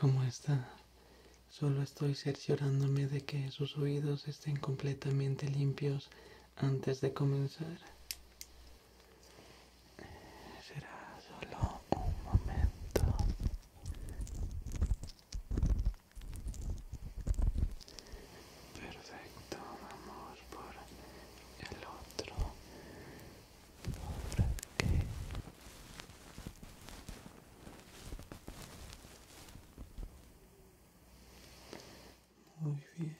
¿Cómo está, solo estoy cerciorándome de que sus oídos estén completamente limpios antes de comenzar. Será solo un momento perfecto amor, por el otro por aquí muy bien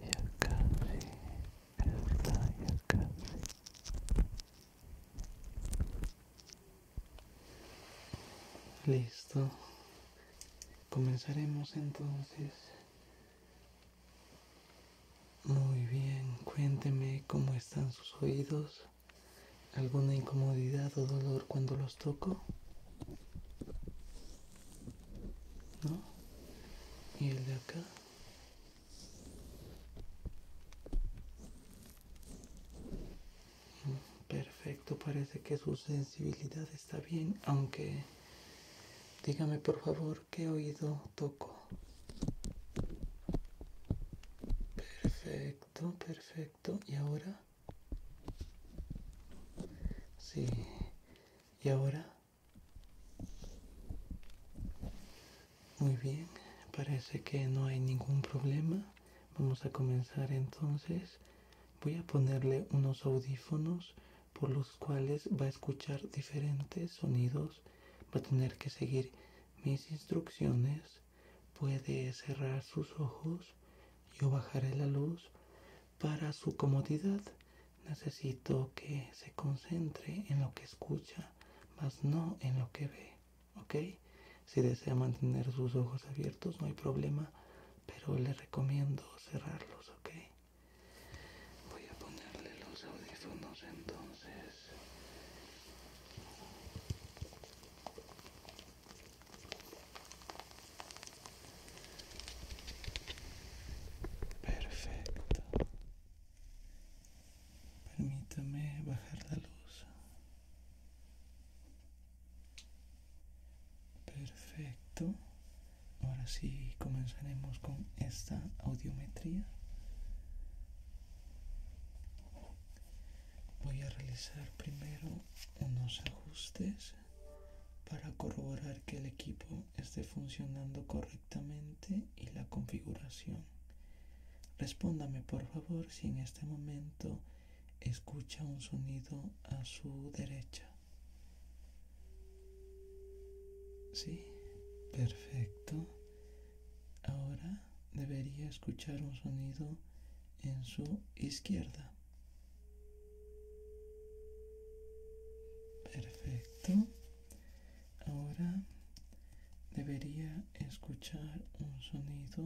y acá sí está acá Listo. Comenzaremos entonces. Muy bien, cuénteme cómo están sus oídos. ¿Alguna incomodidad o dolor cuando los toco? ¿No? ¿Y el de acá? Perfecto, parece que su sensibilidad está bien, aunque dígame por favor qué oído toco. Perfecto, perfecto. ¿Y ahora? Sí. ¿Y ahora? Muy bien, parece que no hay ningún problema. Vamos a comenzar entonces Voy a ponerle unos audífonos por los cuales va a escuchar diferentes sonidos, va a tener que seguir mis instrucciones, puede cerrar sus ojos, yo bajaré la luz. Para su comodidad necesito que se concentre en lo que escucha, más no en lo que ve, ¿ok? Si desea mantener sus ojos abiertos, no hay problema, pero le recomiendo cerrarlos, ¿ok? Voy a ponerle los audífonos entonces. Perfecto. Permítame bajar la luz. Perfecto. Ahora sí comenzaremos con esta audiometría. Voy a realizar primero unos ajustes para corroborar que el equipo esté funcionando correctamente y la configuración. Respóndame por favor si en este momento Escucha un sonido a su derecha. Sí, perfecto. Ahora debería escuchar un sonido en su izquierda. Perfecto. Ahora debería escuchar un sonido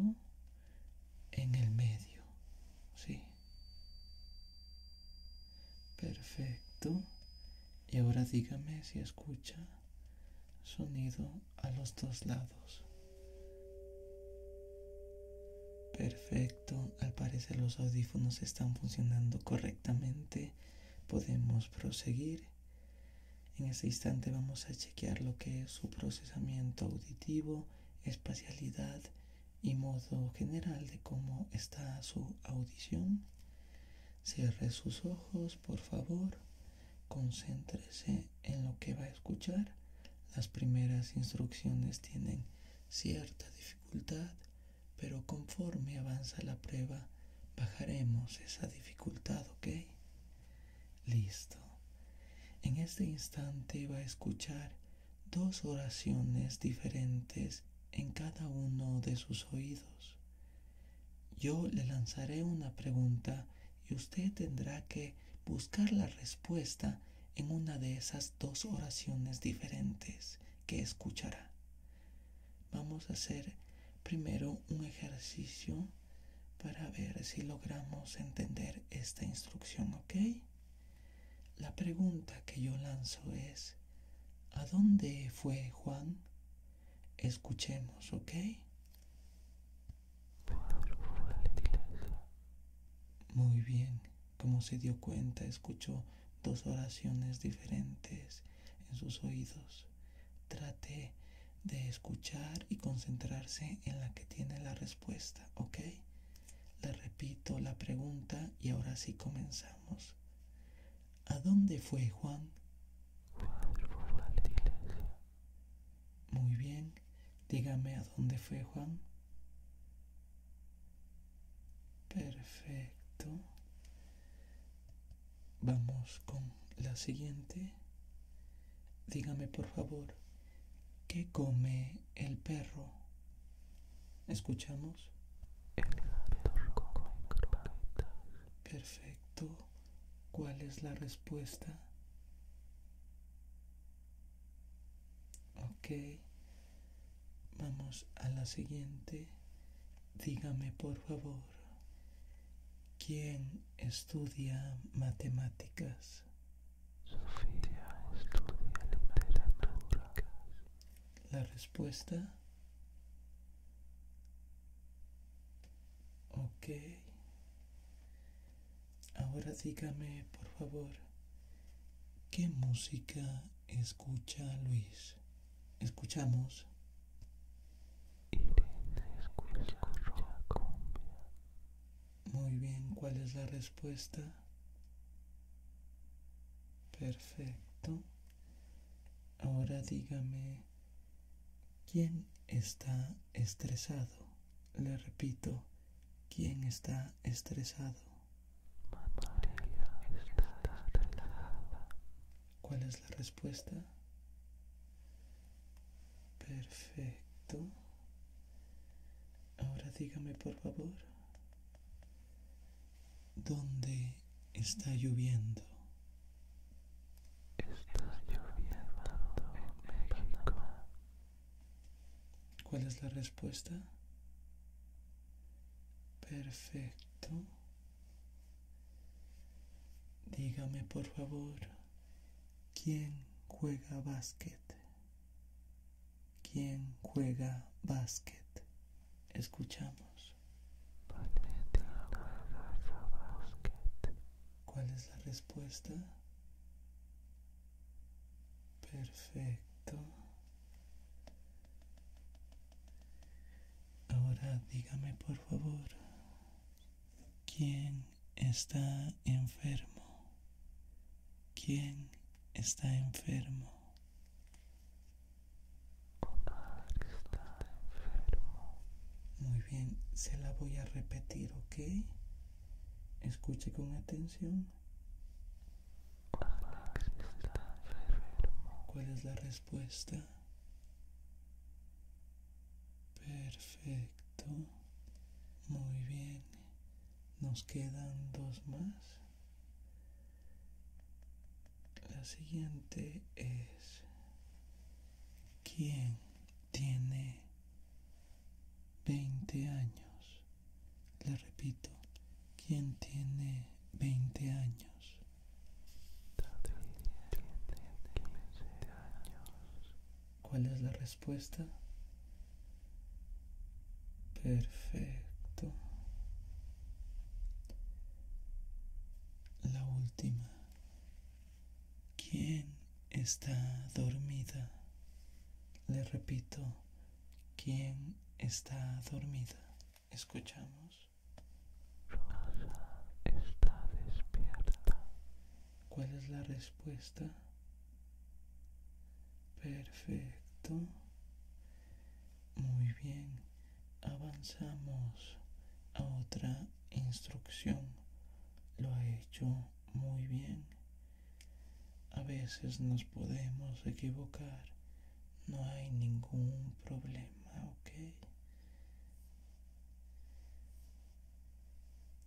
en el medio, ¿sí? Perfecto. Y ahora dígame si escucha sonido a los dos lados. Perfecto, al parecer los audífonos están funcionando correctamente. Podemos proseguir. En este instante vamos a chequear lo que es su procesamiento auditivo espacialidad y modo general de cómo está su audición. Cierre sus ojos, por favor. Concéntrese en lo que va a escuchar. Las primeras instrucciones tienen cierta dificultad, pero conforme avanza la prueba, bajaremos esa dificultad, ¿ok? Listo. En este instante va a escuchar dos oraciones diferentes en cada uno de sus oídos. Yo le lanzaré una pregunta y usted tendrá que buscar la respuesta en una de esas dos oraciones diferentes que escuchará. Vamos a hacer primero un ejercicio para ver si logramos entender esta instrucción, ¿ok? La pregunta que yo lanzo es, ¿a dónde fue Juan? Escuchemos, ¿ok? Muy bien, como se dio cuenta, escuchó dos oraciones diferentes en sus oídos. Trate de escuchar y concentrarse en la que tiene la respuesta, ¿ok? Le repito la pregunta y ahora sí comenzamos. ¿A dónde fue Juan? Muy bien, dígame a dónde fue Juan. Perfecto. Vamos con la siguiente. Dígame por favor, ¿qué come el perro? ¿Escuchamos? El perro come Perfecto. ¿Cuál es la respuesta? Ok. Vamos a la siguiente. Dígame por favor, ¿quién estudia matemáticas? Sofía estudia literatura. La respuesta. Ok. Ahora dígame, por favor, ¿qué música escucha Luis? Escuchamos. Irene escucha, cumbia. Muy bien, ¿cuál es la respuesta? Perfecto. Ahora dígame, ¿quién está estresado? Le repito, ¿quién está estresado? ¿Cuál es la respuesta? Perfecto. Ahora dígame por favor, ¿dónde está lloviendo? Está lloviendo en México. ¿Cuál es la respuesta? Perfecto. Dígame por favor, ¿quién juega básquet? ¿Quién juega básquet. Escuchamos. ¿Cuál es la respuesta? Perfecto. Ahora dígame por favor, ¿quién está enfermo? ¿Quién está enfermo? está enfermo. Muy bien, se la voy a repetir, ¿ok? Escuche con atención. está enfermo. ¿Cuál es la respuesta? Perfecto. Muy bien. Nos quedan dos más. La siguiente es ¿Quién tiene veinte años? Le repito, ¿quién tiene veinte años? ¿Cuál es la respuesta? Perfecto. La última. ¿Quién está dormida? Le repito, ¿quién está dormida? Escuchamos. Rosa está despierta. ¿Cuál es la respuesta? Perfecto. Muy bien. Avanzamos a otra instrucción. Lo ha hecho muy bien. A veces nos podemos equivocar. No hay ningún problema, ¿ok?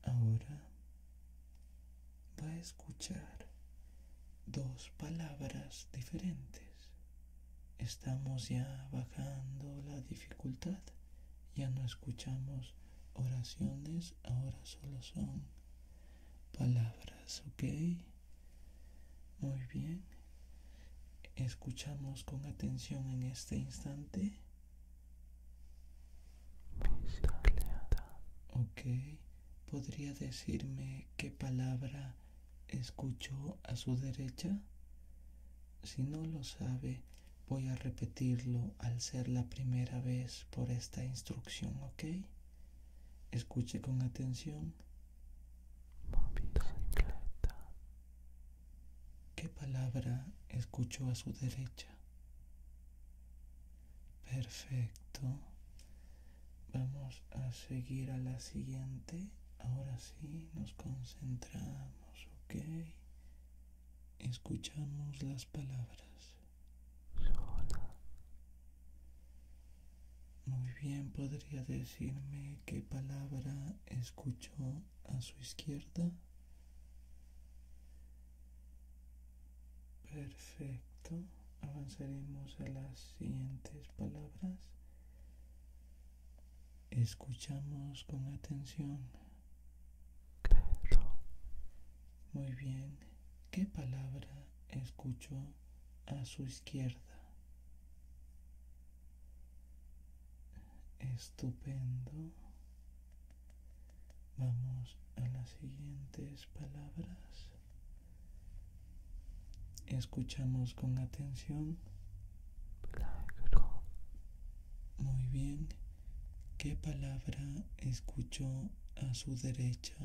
Ahora va a escuchar dos palabras diferentes. Estamos ya bajando la dificultad, ya no escuchamos oraciones, ahora solo son palabras, ¿ok? Muy bien. Escuchamos con atención en este instante Ok, ¿podría decirme qué palabra escuchó a su derecha? Si no lo sabe, voy a repetirlo al ser la primera vez por esta instrucción, ¿ok? Escuche con atención. ¿Qué palabra escuchó a su derecha? Perfecto. Vamos a seguir a la siguiente. Ahora sí, nos concentramos, ¿ok? Escuchamos las palabras. Muy bien, ¿podría decirme qué palabra escuchó a su izquierda? Perfecto. Avanzaremos a las siguientes palabras. Escuchamos con atención. Muy bien. ¿Qué palabra escuchó a su izquierda? Estupendo. Vamos a las siguientes palabras. Escuchamos con atención. Muy bien. ¿Qué palabra escuchó a su derecha?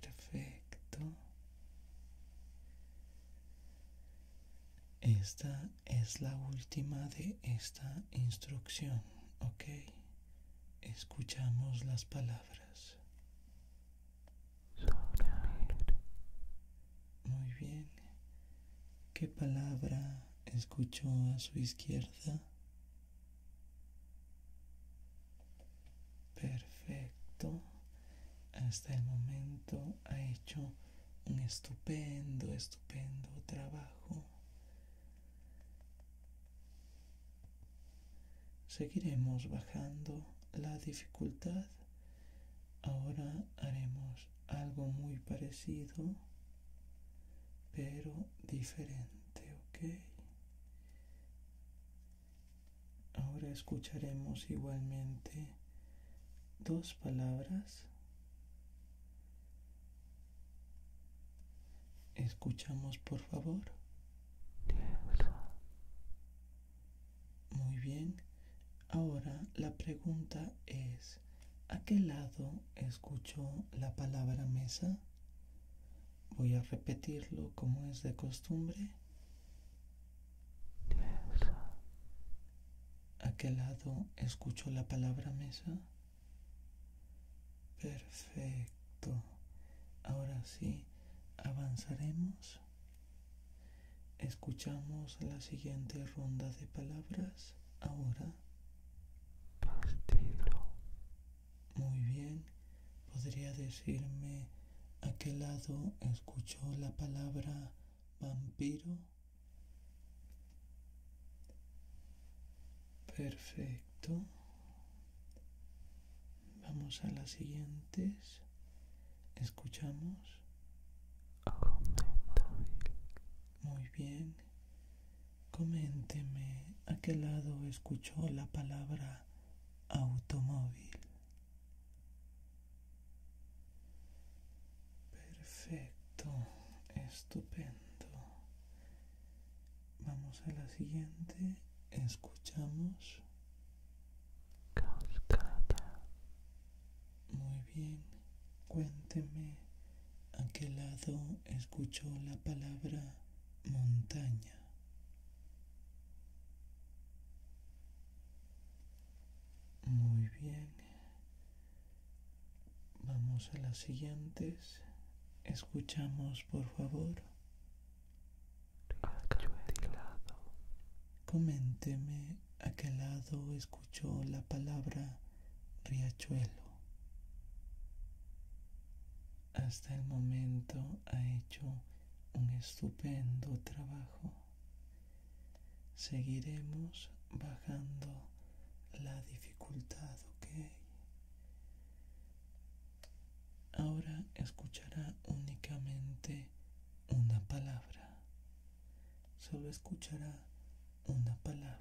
Perfecto. Esta es la última de esta instrucción, ¿ok? Escuchamos las palabras. Muy bien. ¿Qué palabra escuchó a su izquierda? Perfecto. Hasta el momento ha hecho un estupendo, estupendo trabajo. Seguiremos bajando la dificultad. Ahora haremos algo muy parecido, pero diferente, ¿ok? Ahora escucharemos igualmente dos palabras Escuchamos, por favor. Muy bien. Ahora la pregunta es, ¿a qué lado escucho la palabra mesa? Voy a repetirlo como es de costumbre. ¿A qué lado escucho la palabra mesa? Perfecto. Ahora sí, avanzaremos. Escuchamos la siguiente ronda de palabras. Ahora. Muy bien. ¿Podría decirme a qué lado escuchó la palabra vampiro? Perfecto. Vamos a las siguientes. Escuchamos. Muy bien. Coménteme a qué lado escuchó la palabra automóvil. Perfecto, estupendo. Vamos a la siguiente. Escuchamos. Cascada. Muy bien. Cuénteme a qué lado escuchó la palabra montaña. Muy bien. Vamos a las siguientes. Escuchamos, por favor. Coménteme a qué lado escuchó la palabra riachuelo. Hasta el momento ha hecho un estupendo trabajo. Seguiremos bajando la dificultad, ¿ok? Ahora escuchará únicamente una palabra. Solo escuchará una palabra.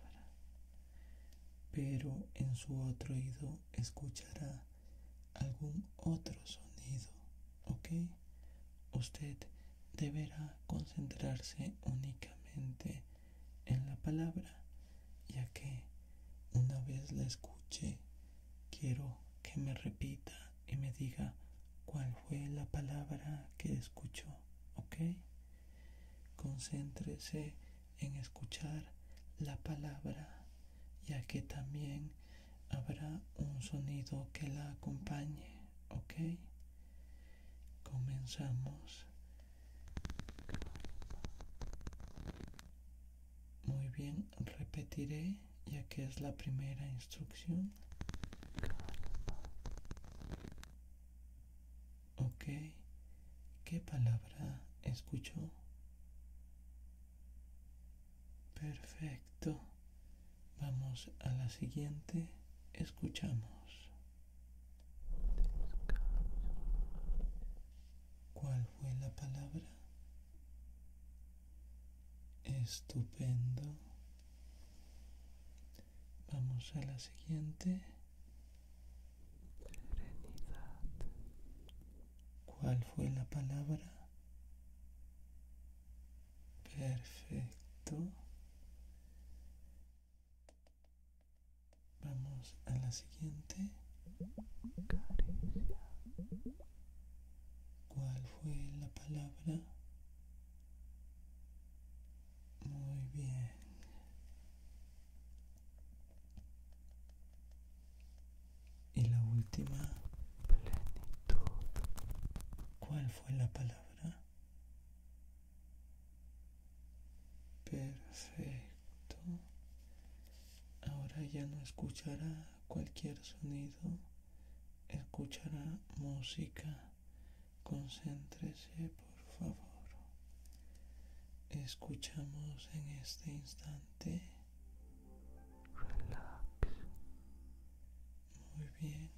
Pero en su otro oído escuchará algún otro sonido, ¿ok? Usted deberá concentrarse únicamente en la palabra, ya que una vez la escuche, quiero que me repita y me diga cuál fue la palabra que escuchó, ¿ok? Concéntrese en escuchar la palabra, ya que también habrá un sonido que la acompañe, ¿ok? Comenzamos. Muy bien, repetiré ya que es la primera instrucción. Ok, ¿qué palabra escuchó? Perfecto. Vamos a la siguiente. Escuchamos. ¿Cuál fue la palabra? Estupendo. Vamos a la siguiente. ¿Cuál fue la palabra? Perfecto. Vamos a la siguiente. ¿Cuál fue la palabra? Muy bien. Y la última. ¿Cuál fue la palabra? Perfecto. Ahora ya no escuchará cualquier sonido, escuchará música. Concéntrese, por favor. Escuchamos en este instante. Relax. Muy bien.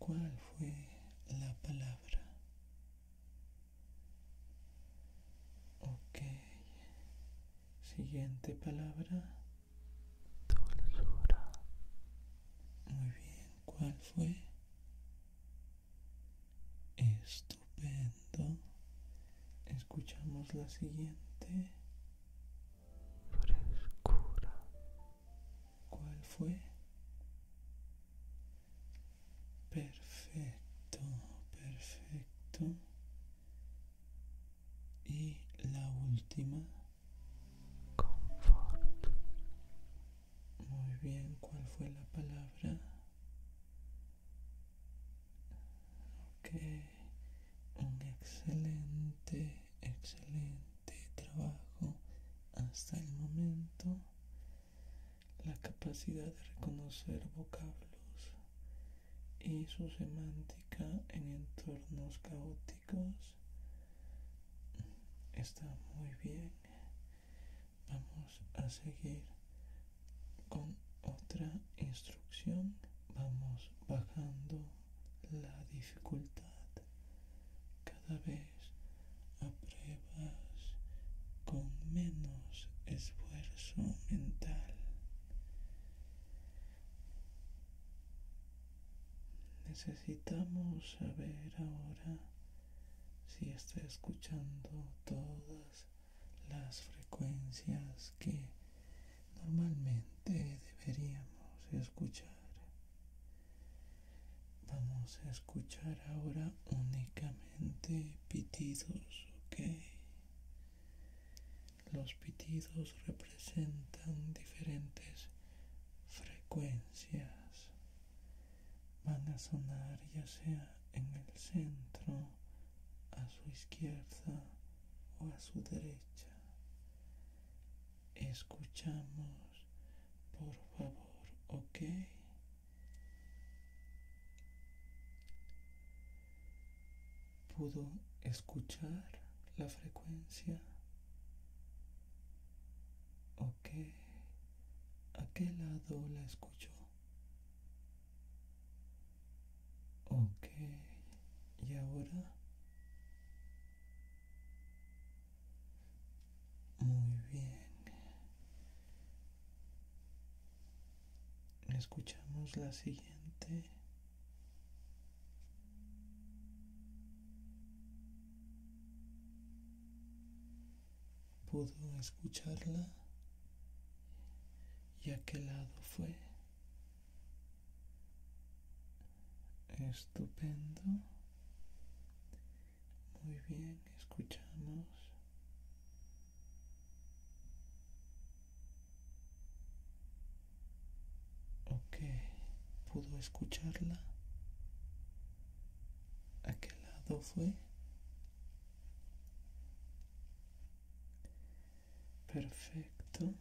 ¿Cuál fue la palabra? Ok. Siguiente palabra. Dulzura. Muy bien. ¿Cuál fue? Estupendo. Escuchamos la siguiente. Frescura. ¿Cuál fue? Perfecto, perfecto. Y la última. Muy bien, ¿cuál fue la palabra? Ok, un excelente, excelente trabajo hasta el momento la capacidad de reconocer vocablos y su semántica en entornos caóticos está muy bien vamos a seguir con otra instrucción vamos bajando la dificultad cada vez a pruebas con menos esfuerzo mental. Necesitamos saber ahora si está escuchando todas las frecuencias que normalmente deberíamos escuchar. Vamos a escuchar ahora únicamente pitidos, ¿ok? Los pitidos representan diferentes frecuencias. Van a sonar ya sea en el centro, a su izquierda o a su derecha. Escuchamos, por favor, ¿ok? pudo escuchar la frecuencia. Okay, ¿a qué lado la escuchó? Okay, ¿y ahora? Muy bien. Escuchamos la siguiente. ¿Pudo escucharla? ¿Y a qué lado fue? Estupendo. Muy bien, escuchamos. Ok, ¿pudo escucharla? ¿A qué lado fue? Perfecto.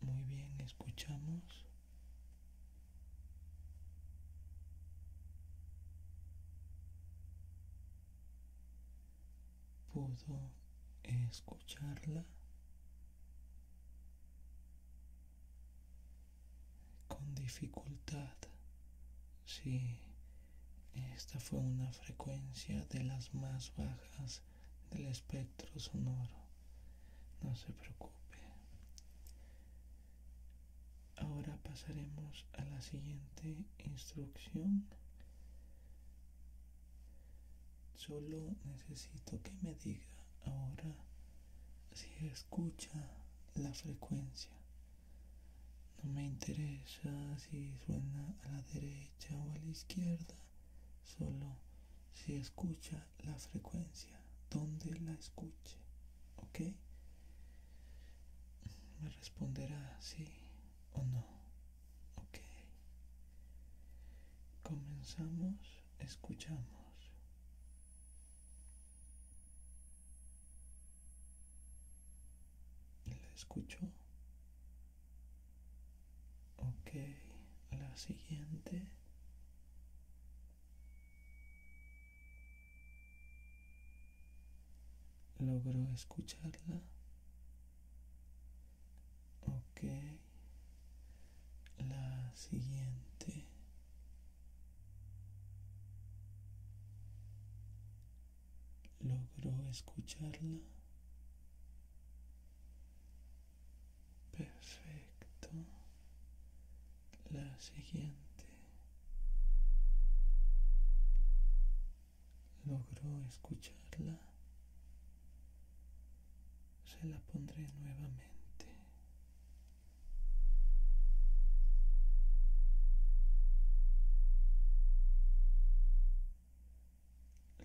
Muy bien, escuchamos. Pudo escucharla. Con dificultad. Sí, esta fue una frecuencia de las más bajas del espectro sonoro. No se preocupe. Ahora pasaremos a la siguiente instrucción. Solo necesito que me diga ahora si escucha la frecuencia. No me interesa si suena a la derecha o a la izquierda solo si escucha la frecuencia, donde la escuche, ¿ok? Me responderá sí o no, ¿ok? Comenzamos, escuchamos. ¿La escucho Ok, la siguiente. ¿Logró escucharla. Ok. La siguiente. ¿Logró escucharla. Perfecto. La siguiente. Logró escucharla. Se la pondré nuevamente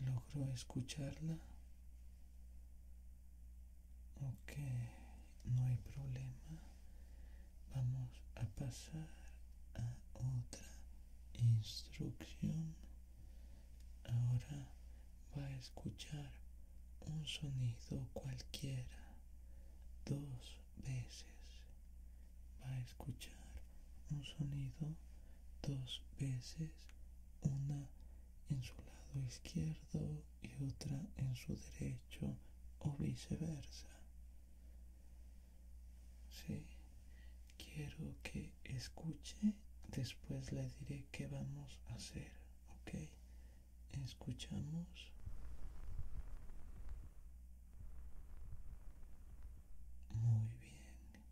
logro escucharla. Ok, no hay problema. Vamos a pasar a otra instrucción. Ahora va a escuchar un sonido cualquiera dos veces. Va a escuchar un sonido dos veces, una en su lado izquierdo y otra en su derecho o viceversa. Sí, quiero que escuche, después le diré qué vamos a hacer, ¿ok? Escuchamos. Muy bien.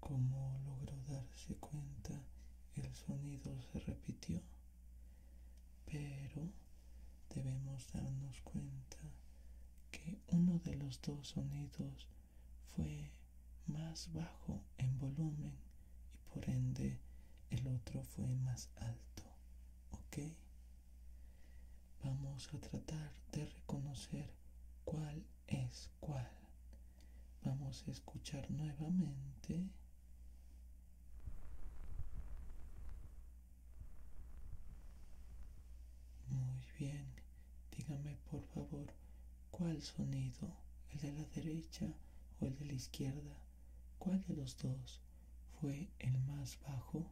Como logró darse cuenta, el sonido se repitió, pero debemos darnos cuenta que uno de los dos sonidos fue más bajo en volumen y por ende el otro fue más alto, ¿ok? Vamos a tratar de reconocer cuál es ¿Cuál? Vamos a escuchar nuevamente. Muy bien, dígame por favor cuál sonido, el de la derecha o el de la izquierda, cuál de los dos fue el más bajo.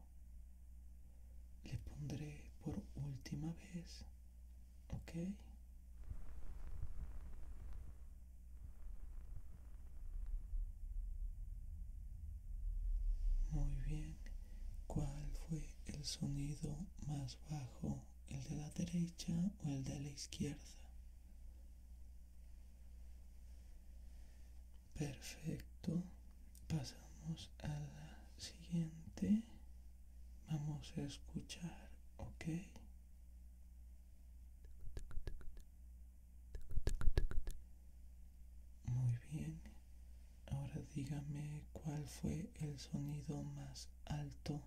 Le pondré por última vez. Ok. Muy bien. ¿Cuál fue el sonido más bajo? ¿El de la derecha o el de la izquierda? Perfecto. Pasamos a la siguiente vamos a escuchar, ¿ok? Muy bien. Ahora dígame cuál fue el sonido más alto.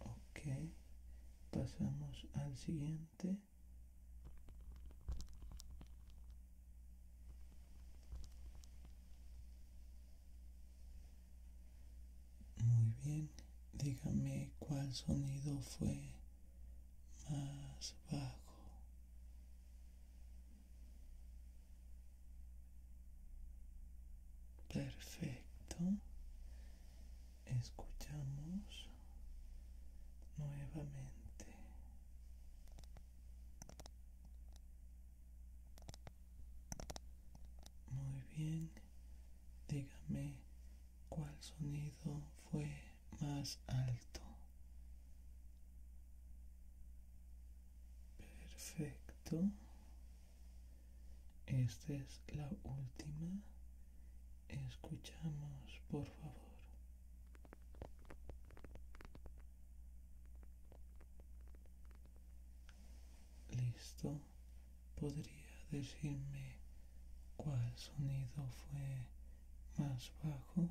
Ok. Pasamos al siguiente. Muy bien, dígame cuál sonido fue más bajo. Perfecto. Escuchamos nuevamente. Muy bien, dígame cuál sonido fue más alto. Perfecto. Esta es la última. Escuchamos, por favor. Listo. ¿Podría decirme cuál sonido fue más bajo?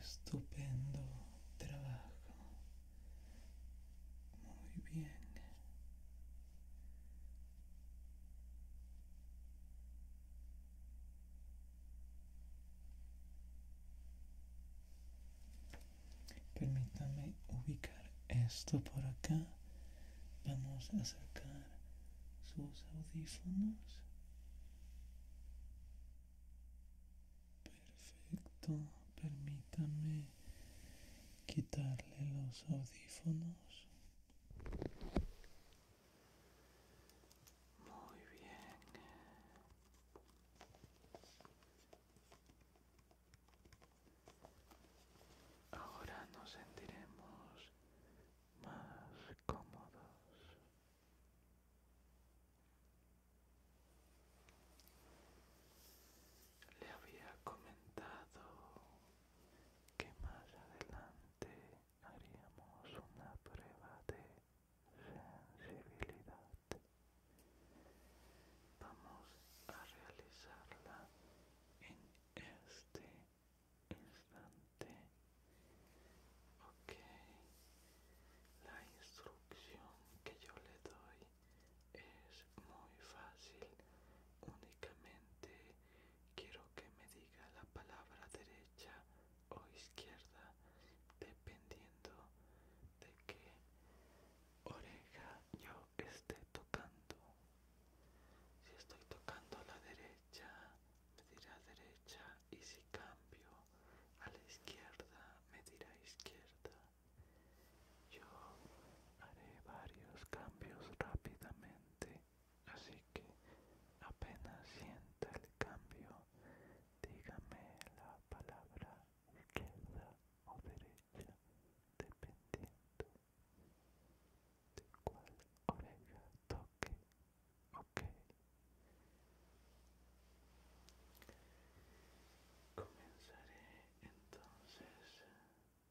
Estupendo trabajo. Muy bien. Permítame ubicar esto por acá. Vamos a sacar sus audífonos. Perfecto. Permítame quitarle los audífonos. Muy bien. Ahora nos sentiremos más cómodos. Le había comentado que más adelante haríamos una prueba de sensibilidad. Vamos a realizarla en este instante. Ok, la instrucción que yo le doy es muy fácil, únicamente Quiero que me diga la palabra derecha o izquierda dependiendo de qué oreja yo esté tocando. Si estoy tocando a la derecha, me dirá derecha y si cambio a la izquierda, me dirá izquierda. Yo haré varios cambios rápidamente así que apenas sienta el cambio, dígame la palabra izquierda o derecha, dependiendo de cuál oreja toque. Ok. Comenzaré entonces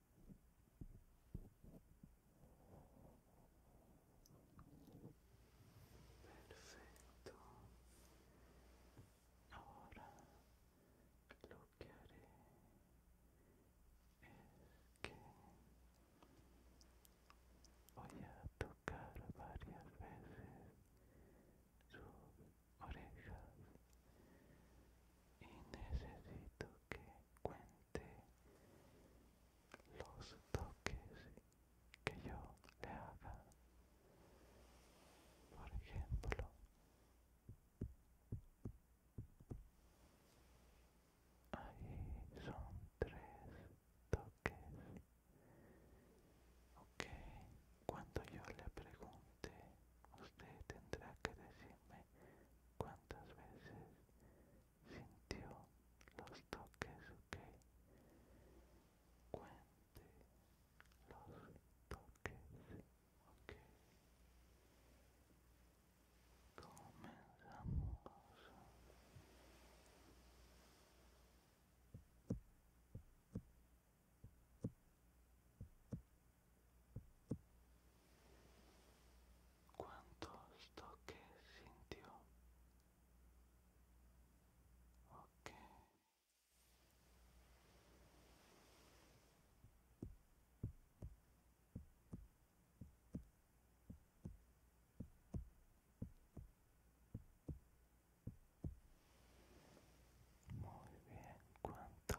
Perfecto. Ahora lo que haré es que voy a tocar varias veces sus orejas y necesito que cuente los toques que yo le haga. Por ejemplo, ahí son tres toques. Ok, cuando yo le pregunte, usted tendrá que decirme cuántas veces sintió los toques, ok. Cuente los toques, ok. Comenzamos cuántos toques sintió. Ok. Muy bien, ¿cuántos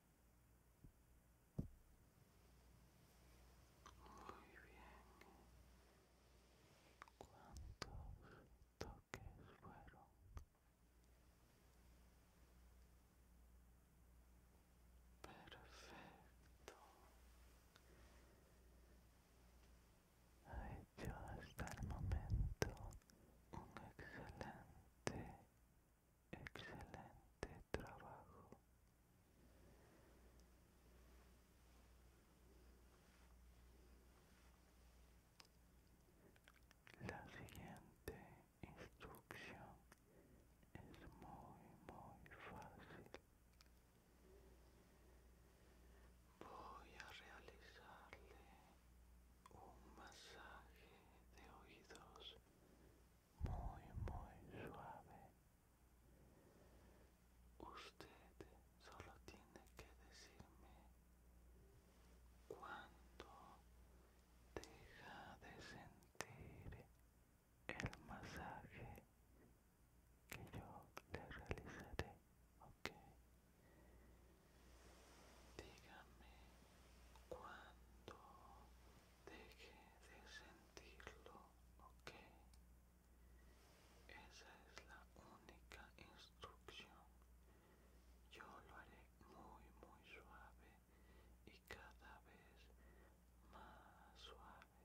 Muy bien. ¿Cuántos toques fueron? Perfecto. Ha hecho hasta el momento un excelente Excelente trabajo. La siguiente instrucción es muy, muy fácil. Voy a realizarle un masaje de oídos muy muy suave usted solo tiene que decirme cuándo deja de sentir el masaje que yo le realizaré ok dígame cuándo deje de sentirlo, ¿ok? Esa es la única instrucción. Yo lo haré muy, muy suave y cada vez más suave.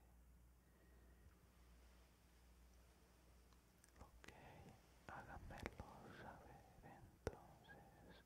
Ok, hágamelo saber entonces.